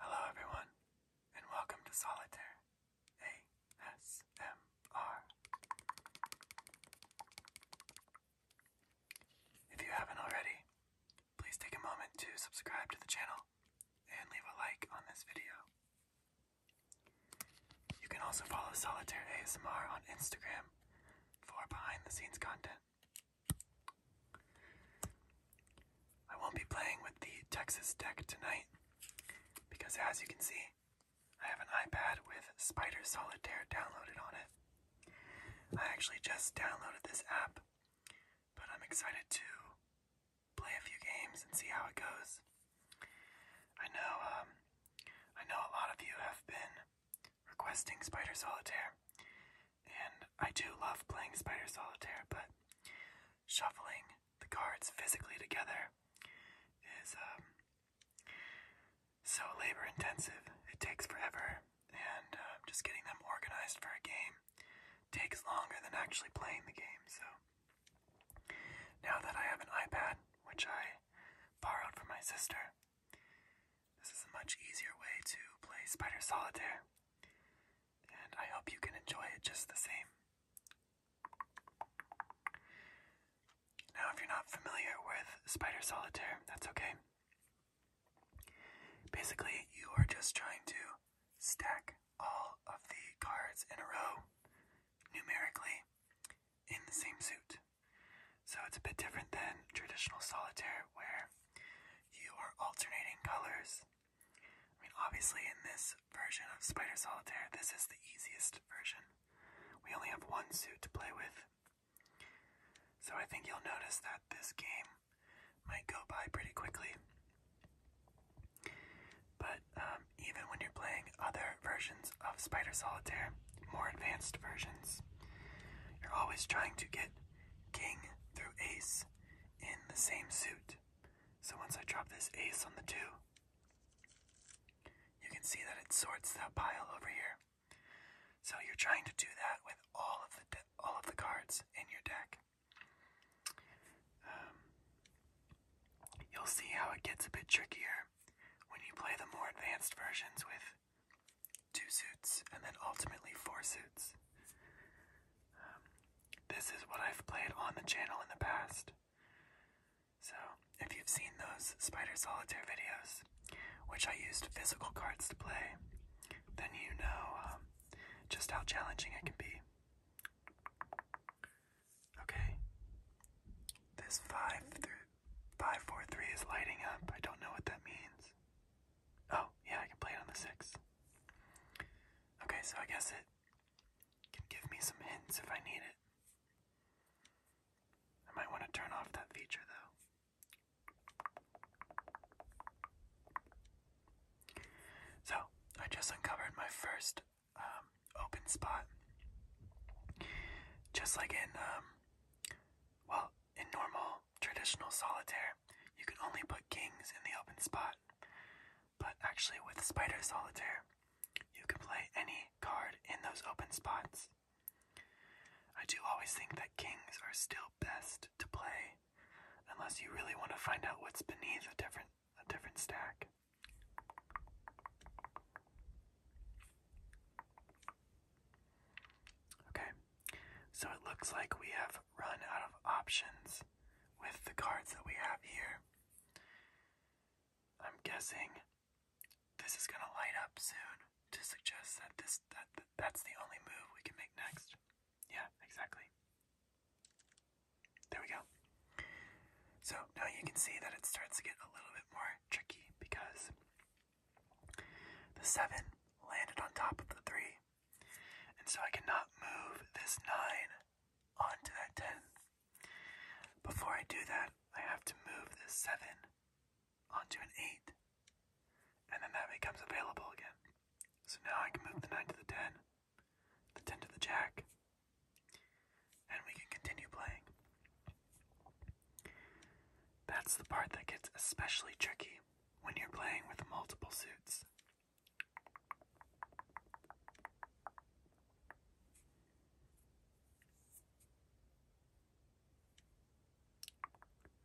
Hello, everyone, and welcome to Solitaire ASMR. If you haven't already, please take a moment to subscribe to the channel and leave a like on this video. You can also follow Solitaire ASMR on Instagram for behind the scenes content. I won't be playing with the Texas deck tonight because, as you can see, I have an iPad with Spider Solitaire downloaded on it. I actually just downloaded this app, but I'm excited to play a few games and see how it goes. I know, um, I know a lot of you have been requesting Spider Solitaire, and I do love playing Spider Solitaire, but shuffling the cards physically together is um, so labor intensive. It takes forever, and uh, just getting them organized for a game takes longer than actually playing the game, so now that I have an iPad, which I borrowed from my sister, this is a much easier way to play Spider Solitaire, and I hope you can enjoy it just the same. Now, if you're not familiar with Spider Solitaire, that's okay. Basically, you are just trying to stack all of the cards in a row numerically in the same suit. So it's a bit different than traditional solitaire where you are alternating colors. I mean, obviously, in this version of Spider Solitaire, this is the easiest version. We only have one suit to play with. So I think you'll notice that this game might go by pretty quickly. But um, even when you're playing other versions of Spider Solitaire, more advanced versions, you're always trying to get king through ace in the same suit. So once I drop this ace on the two, you can see that it sorts that pile over here. So you're trying to do that with all of the all of the cards in your deck. Um, you'll see how it gets a bit trickier when you play the more advanced versions with two suits and then ultimately four suits. Um, this is what I've played on the channel in the past. So, if you've seen those Spider Solitaire videos, which I used physical cards to play, then you know um, just how challenging it can be. Okay. This 5 543 is lighting up. I don't know what that means. Oh, yeah, I can play it on the 6. Okay, so I guess it can give me some hints if I need it. I might want to turn off that feature though. So, I just uncovered my first um, open spot. Just like in, um, well, in normal traditional solitaire, you can only put kings in the open spot. But actually, with Spider Solitaire, you can play any card in those open spots. I do always think that kings are still best to play, unless you really want to find out what's beneath a different a different stack. Okay, so it looks like we have run out of options with the cards that we have here. I'm guessing this is gonna light up soon to suggest that this that that's the only move we can make next. Yeah, exactly. There we go. So now you can see that it starts to get a little bit more tricky because the 7 landed on top of the 3, and so I cannot move this 9 onto that 10. Before I do that, I have to move this 7 onto an 8, and then that becomes available again. So now I can move the 9 to the 10, the 10 to the jack, then we can continue playing. That's the part that gets especially tricky when you're playing with multiple suits.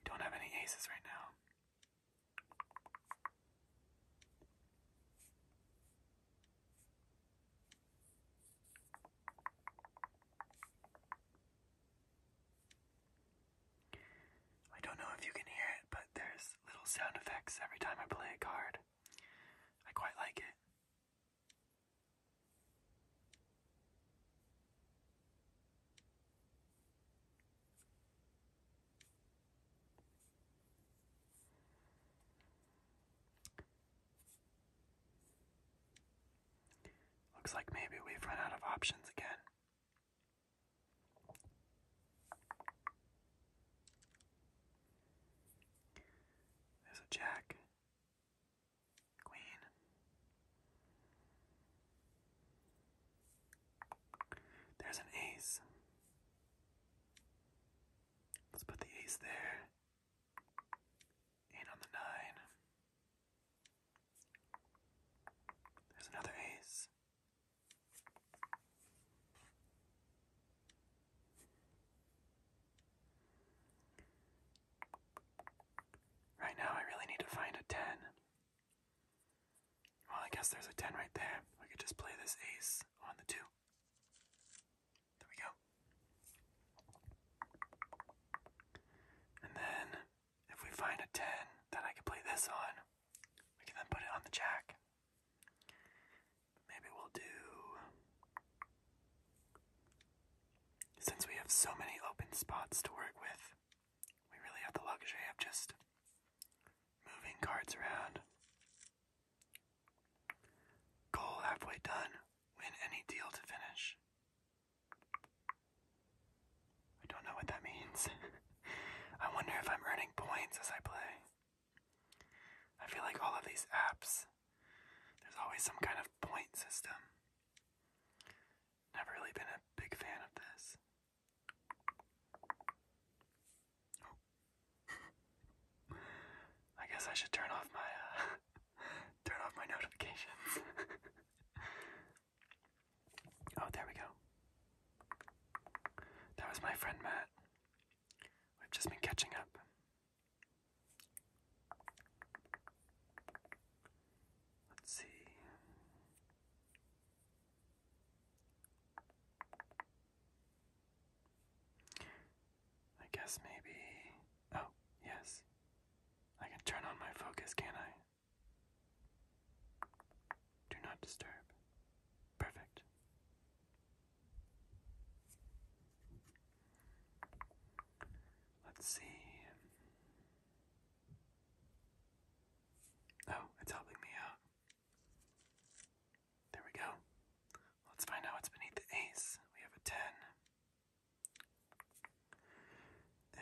don't have any aces right now. I don't know if you can hear it, but there's little sound effects every time I play a card. I quite like it. Looks like maybe we've run out of options again. There's a jack, queen. There's an ace. Let's put the ace there. Eight on the nine. There's another ace. Right now, I really need to find a 10. Well, I guess there's a 10 right there. We could just play this ace on the 2. There we go. And then if we find a 10 that I can play this on, we can then put it on the jack. Maybe we'll do. Since we have so many open spots to work with, we really have the luxury of just moving cards around Goal halfway done. Win any deal to finish. I don't know what that means. I wonder if I'm earning points as I play. I feel like all of these apps, there's always some kind of point system. Never really been a big fan of this. Oh. I guess I should turn off my uh, turn off my notifications. oh, there we go. That was my friend Matt. We've just been catching up. Let's see. I guess maybe. Oh, yes. I can turn on my focus, can I? Do not disturb. Perfect. Let's see. Oh, it's helping me out. There we go. Let's find out what's beneath the ace. We have a 10.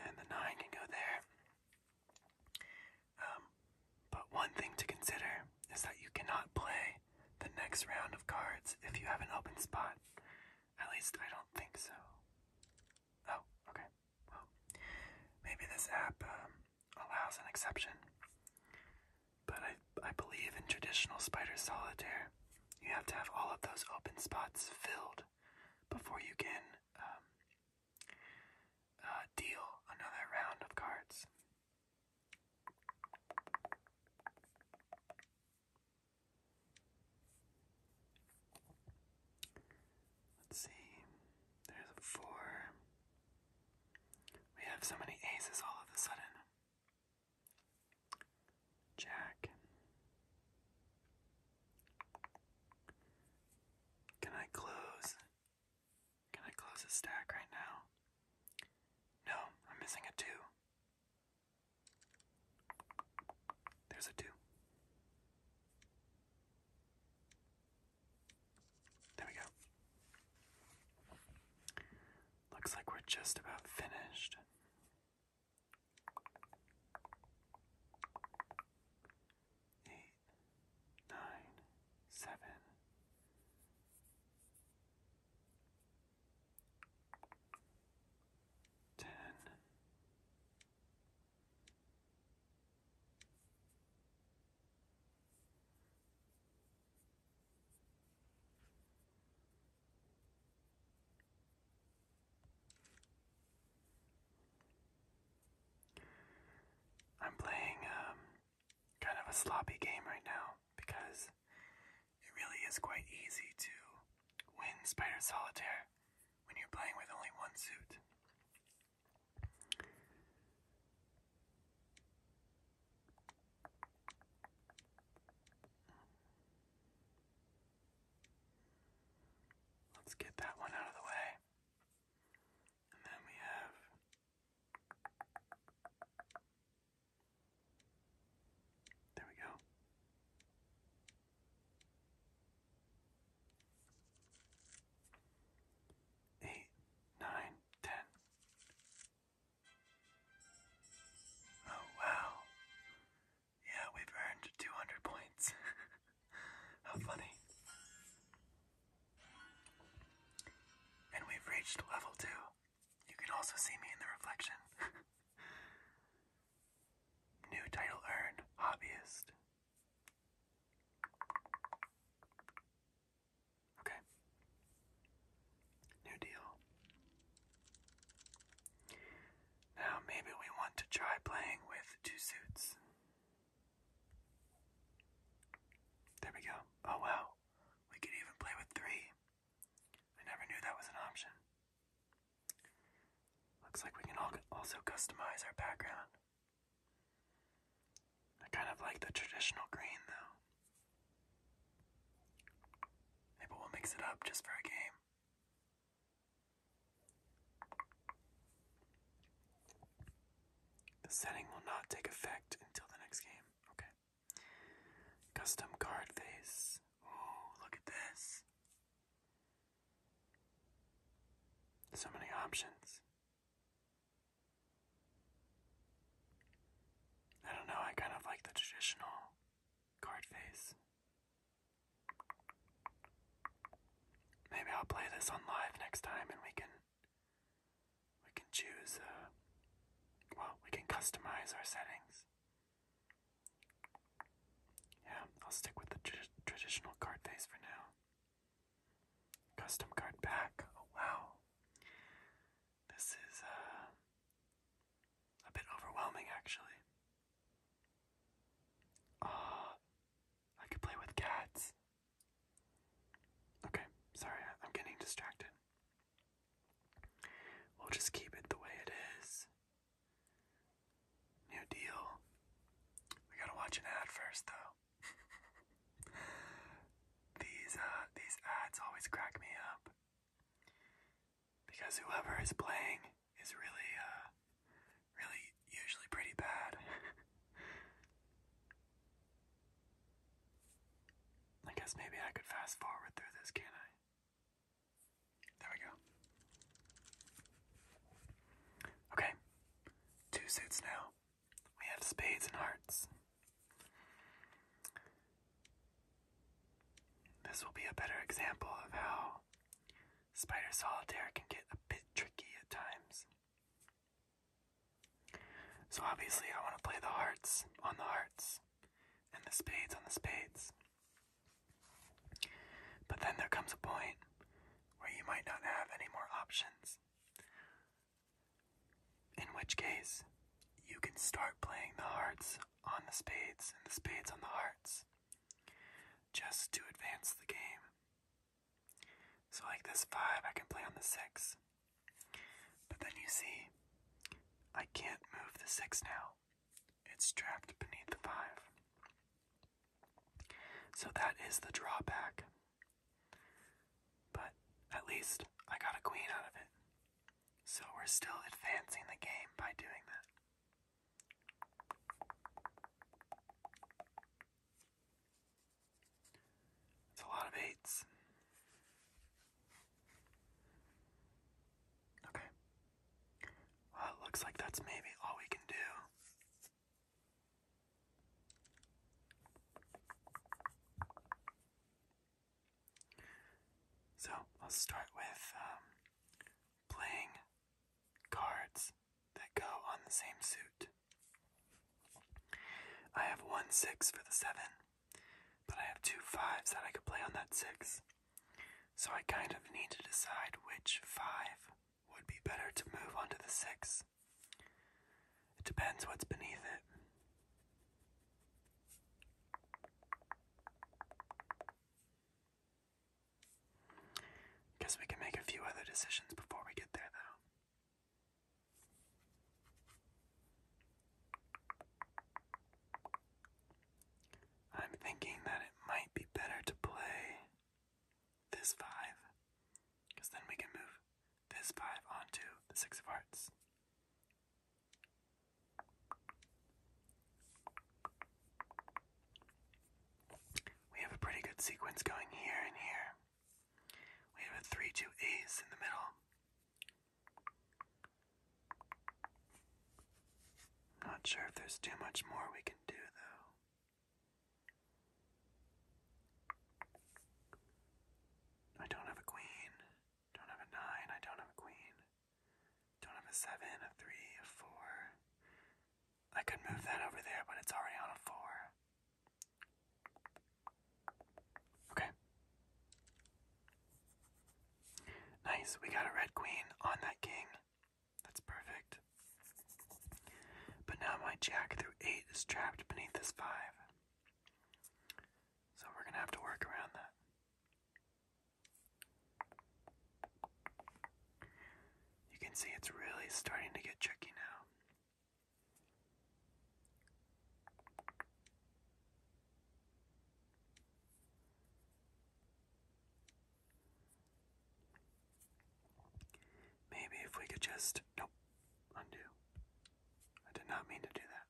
And the 9 can go there. Um, but one thing to consider is that you cannot play the next round of cards if you have an open spot. At least I don't think so. Oh, okay. Well, maybe this app um, allows an exception. But I, I believe in traditional spider solitaire, you have to have all of those open spots filled before you can um, uh, deal another round of cards. Let's see. There's a four. We have so many aces all of a sudden. Jack. Can I close? Can I close a stack right now? No, I'm missing a 2. There's a 2. There we go. Looks like we're just about finished. Eight, nine, I'm playing um, kind of a sloppy game right now because it really is quite easy to win Spider Solitaire when you're playing with only one suit. Let's get that one out of the way. And then we have There we go. Eight, nine, ten, Oh wow. Yeah, we've earned 200 points. How funny. And we've reached level 2. You can also see me in the reflection. New title earned, hobbyist. Okay. New deal. Now maybe we want to try playing with two suits. There we go. Oh wow. We could even play with three. I never knew that was an option. Looks like we can also customize our background. I kind of like the traditional green though. Maybe we'll mix it up just for a game. The setting will not take effect until the next game. Okay. Custom card face. Oh, look at this. So many options. I don't know, I kind of like the traditional card face. Maybe I'll play this on live next time and we can we can choose uh, well, we can customize our settings. Yeah, I'll stick with the traditional card face for now. Custom card pack. Oh wow. This is uh, a bit overwhelming, actually. Ah, I could play with cats. Okay, sorry, I'm getting distracted. We'll just keep it the way it is. New deal. We gotta watch an ad first, though. these uh, these ads always crack me up. Because whoever is playing is really, uh, really usually pretty bad. I guess maybe I could fast forward through this, can I? There we go. Okay, two suits now. We have spades and hearts. This will be a better example of how Spider Solitaire can get a bit tricky at times. So obviously I want to play the hearts on the hearts and the spades on the spades. But then there comes a point where you might not have any more options. In which case, you can start playing the hearts on the spades and the spades on the hearts just to advance the game. So, like this 5, I can play on the 6. But then you see, I can't move the 6 now, it's trapped beneath the 5. So, that is the drawback. But at least I got a queen out of it. So we're still advancing the game by doing that. It's a lot of eights. Okay. Well, it looks like that's maybe all we can do. So I'll start with um, playing cards that go on the same suit. I have one six for the seven, but I have two fives that I could play on that six. So I kind of need to decide which five would be better to move onto the six. It depends what's beneath it. Guess we can make a few other decisions before we get there, though. I'm thinking that it might be better to play this five, because then we can move this five onto the six of hearts. We have a pretty good sequence going here and here. We have a 3 2 a's in the middle. not sure if there's too much more we can do, though. I don't have a queen. Don't have a nine, I don't have a queen. Don't have a seven, a three, a four. I could move that over there, but it's already on a four. Okay. Nice, we got a red queen on that king. That's perfect. But now my jack through eight is trapped beneath this five. So we're gonna have to work around that. You can see it's really starting to get tricky now. Maybe if we could just. Nope. Undo. I did not mean to do that.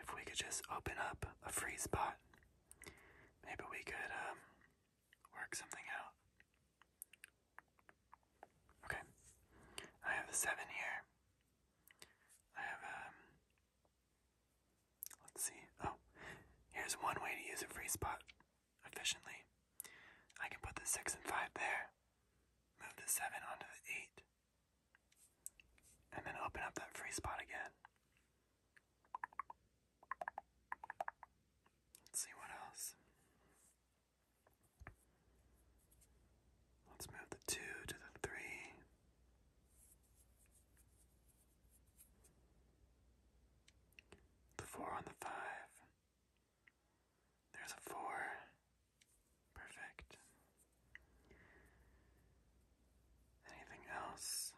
If we could just open up a free spot, maybe we could um, work something out. Okay, I have a seven here. I have um, let's see. Oh, here's one way to use a free spot efficiently. I can put the six and five there. Move the 7 onto the 8. And then open up that free spot again. Let's see what else. Let's move the 2 to the 3. The 4 on the 5. There's a four. Perfect. Anything else?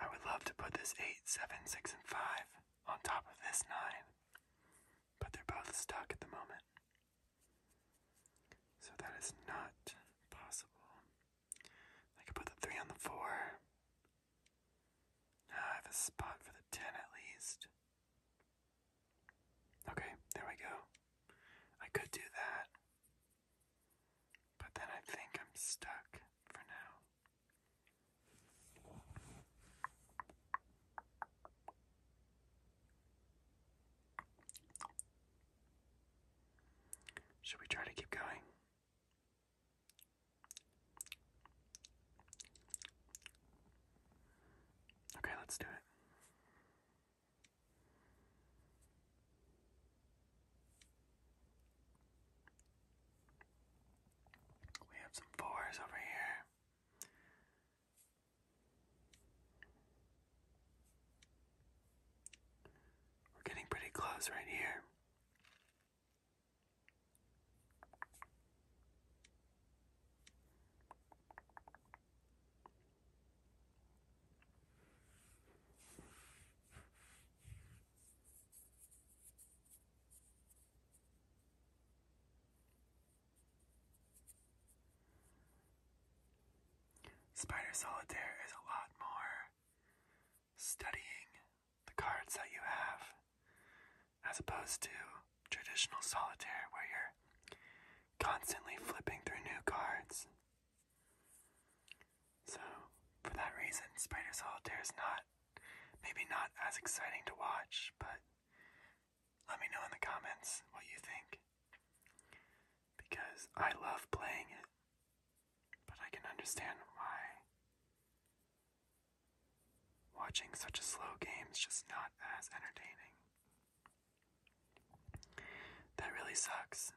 I would love to put this 8, and 5 on top of this 9, but they're both stuck at the moment. So that is not possible. I could put the three on the four. Uh, I have a spot for the ten at least. Okay, there we go. I could do that. But then I think I'm stuck for now. Should we try to keep going? Okay, let's do it. We have some fours over here. We're getting pretty close right here. Spider Solitaire is a lot more studying the cards that you have, as opposed to traditional solitaire where you're constantly flipping through new cards. So, for that reason, Spider Solitaire is not, maybe not as exciting to watch, but let me know in the comments what you think. Because I love playing it, but I can understand why. Watching such a slow game is just not as entertaining. That really sucks.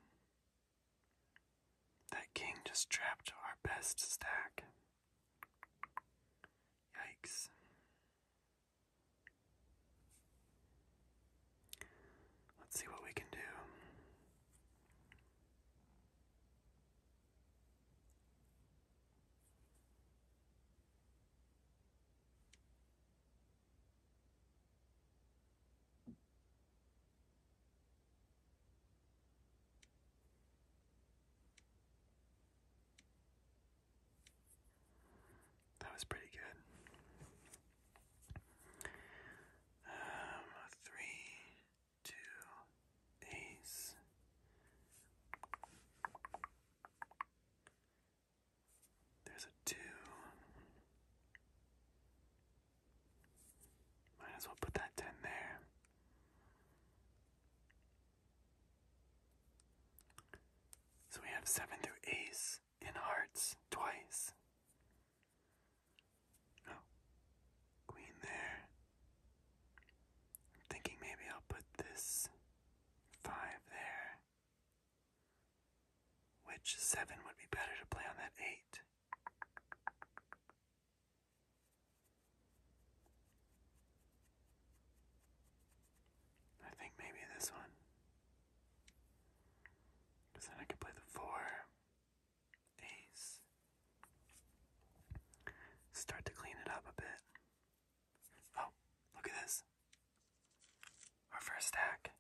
That king just trapped our best stack. Yikes. Let's see what we can do. That was pretty good. Um, three, two, ace. There's a two. Might as well put that ten there. So we have seven through ace in hearts twice. Oh, queen there. thinking maybe I'll put this five there. Which seven would be better to play on that eight? I think maybe this one. Because then I could play the four. Ace. Start to clean it up a bit. Oh, look at this. Our first stack.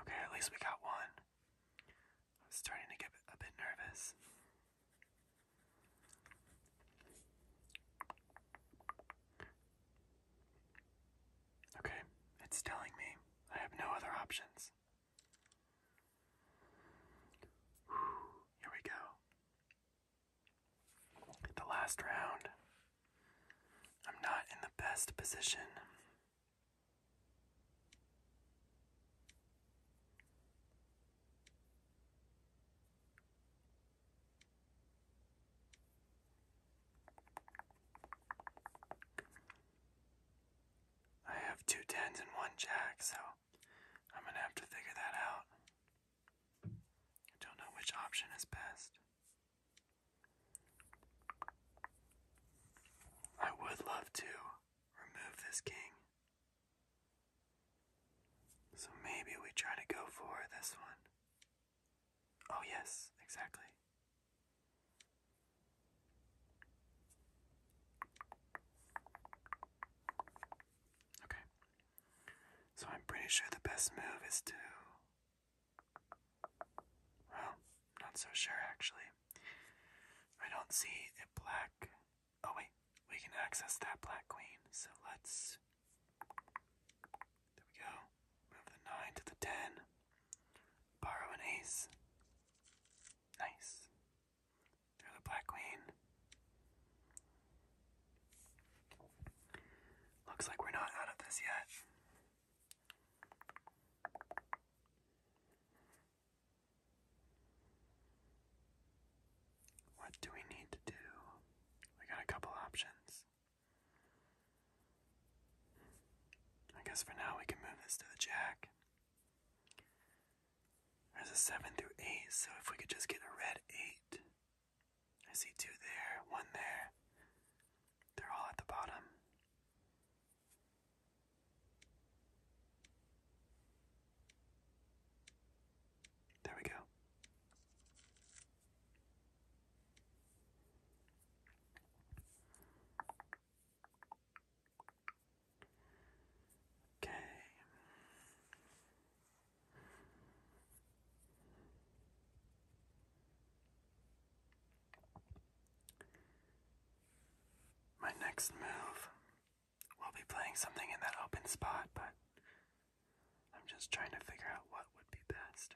Okay, at least we got one. I was starting to get a bit nervous. Okay, it's telling me I have no other options. here we go. The last round. I'm not in the best position. I have two tens and one jack, so I'm gonna have to figure that out. I don't know which option is best. I would love to remove this king. So maybe we try to go for this one. Oh, yes, exactly. Okay. So I'm pretty sure the best move is to. Well, not so sure actually. I don't see a black. Oh, wait, we can access that black queen, so let's there we go. Move the 9 to the 10. Borrow an ace. Nice. Throw the black queen. Looks like we're not out of this yet. What do we need to do? We got a couple options. I guess for now we can move this to the jack. There's a 7 through 8, so if we could just get a red 8. I see two there, one there. They're all at the bottom. There we go. Okay. My next move will be playing something in that open spot, but I'm just trying to figure out what would be best.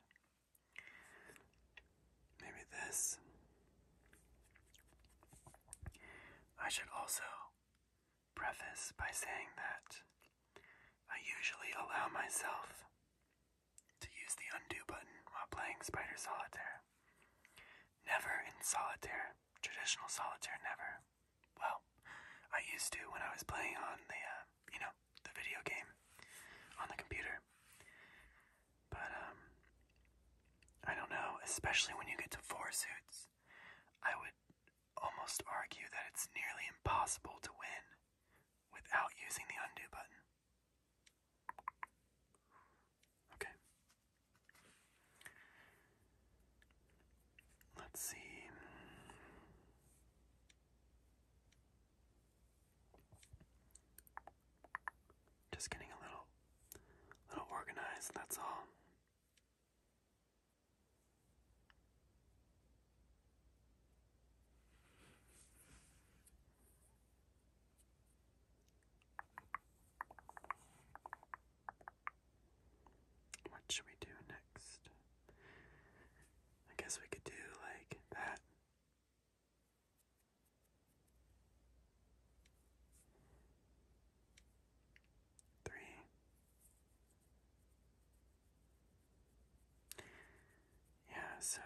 Maybe this. I should also preface by saying that I usually allow myself to use the undo button while playing Spider Solitaire. Never in solitaire, traditional solitaire, never. Well, I used to when I was playing on the uh, you know, the video game on the computer. But, um, I don't know, especially when you get to four suits, I would almost argue that it's nearly impossible to win without using the undo button. Okay. Let's see. Just getting a little little organized, that's all. What should we do next? I guess we could do like that Three. Yeah, so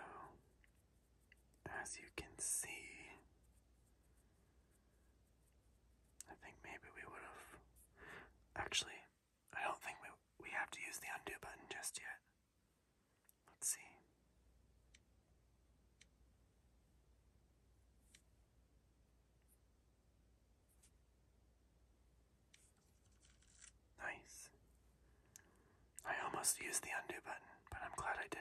as you can see, I think maybe we would have. Actually, I don't think we, we have to use the undo button just yet. Let's see. Nice. I almost used the undo button, but I'm glad I didn't.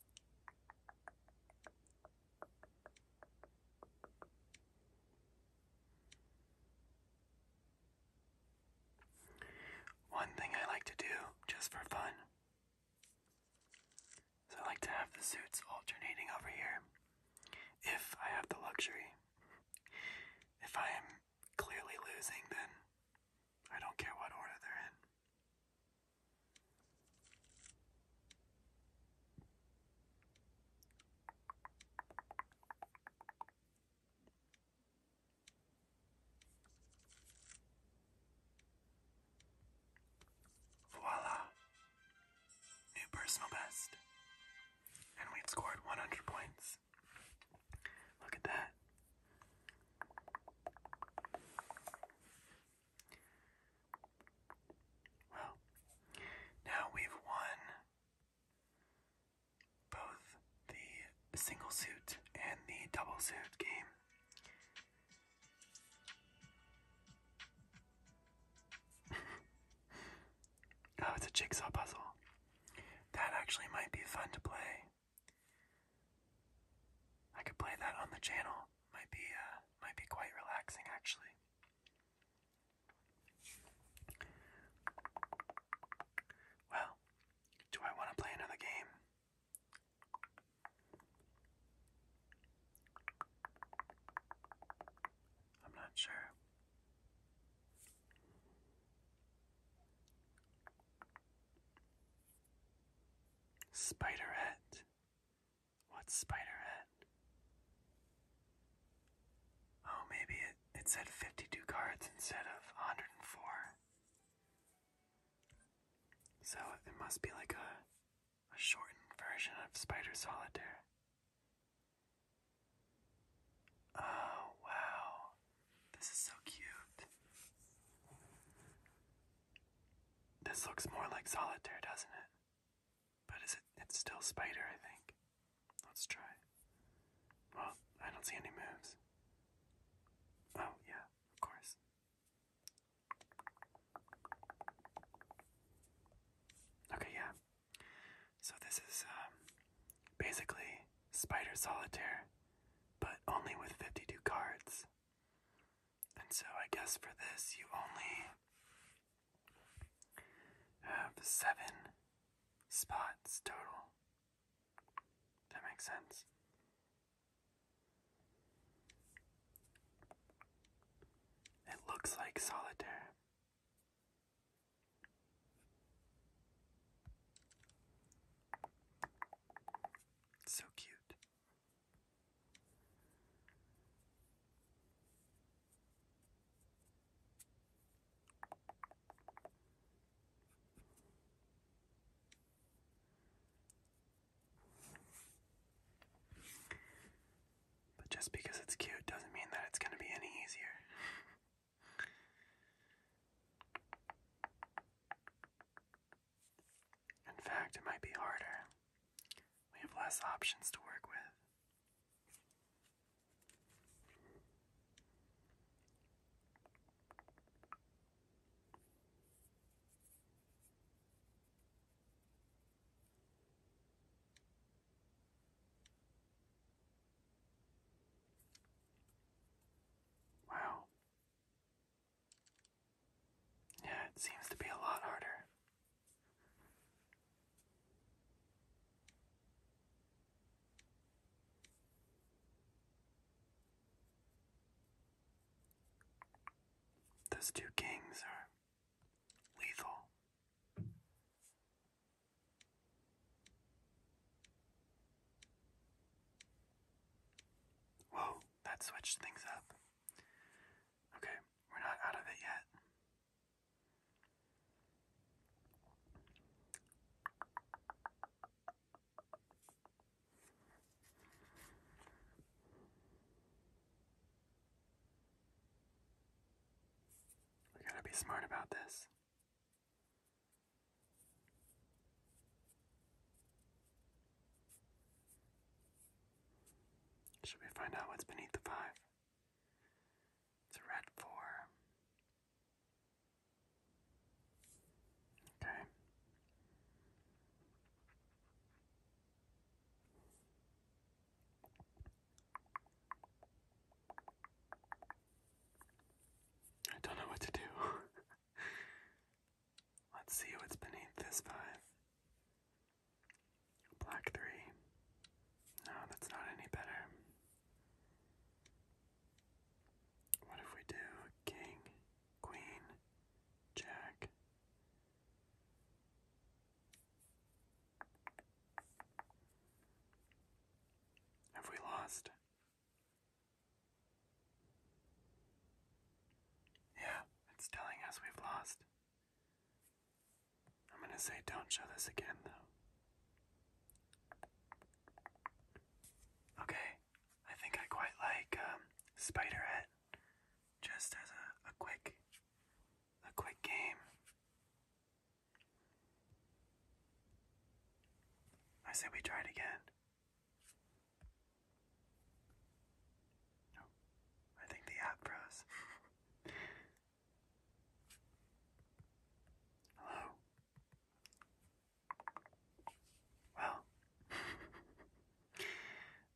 One thing I like to do just for fun is I like to have the suits alternating over here if I have the luxury. If I am clearly losing, then I don't care what order they're in. Voila! New personal best. And we've scored 100 points. Look at that. Well, now we've won both the single suit and the double suit game. oh, it's a jigsaw puzzle. That actually might be fun to play. I could play that on the channel. Might be uh, might be quite relaxing actually. Well, do I want to play another game? I'm not sure. Spiderette. What's Spiderette? Oh, maybe it, it said 52 cards instead of 104. So it must be like a, a shortened version of Spider Solitaire. Oh, wow. This is so cute. This looks more like solitaire, doesn't it? But is it it's still spider, I think. Let's try. Well, I don't see any moves. Oh, yeah, of course. Okay, yeah. So this is um, basically Spider Solitaire, but only with 52 cards. And so I guess for this, you only have seven spots total. That makes sense. It looks like solitaire so cute. But just because it's cute doesn't mean that it's going to be any easier. In fact, it might be harder. We have less options to work with. Wow, yeah, it seems to be a lot harder. Those two kings are lethal. Whoa that switched things up. Okay, we're not out of it yet. We gotta be smart about this. Should we find out what's beneath the five? It's a red four. Okay. I don't know what to do. Let's see what's beneath this five. Black three. No, that's not any better. What if we do king, queen, jack? Have we lost? Yeah, it's telling us we've lost. I'm gonna say don't show this again, though. Okay, I think I quite like um, Spiderette, just as a, a quick, a quick game. I say we try it again. No, I think the app froze. Hello. Well,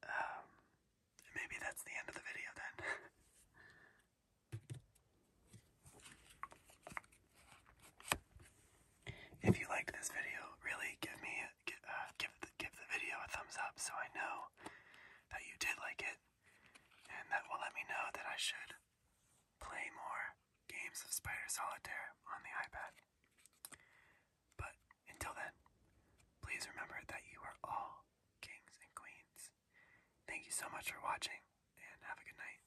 um, maybe that's the end of the video then. If you like this video, really give me uh, give, give the video a thumbs up so I know that you did like it, and that will let me know that I should play more games of Spider Solitaire on the iPad. But until then, please remember that you are all kings and queens. Thank you so much for watching, and have a good night.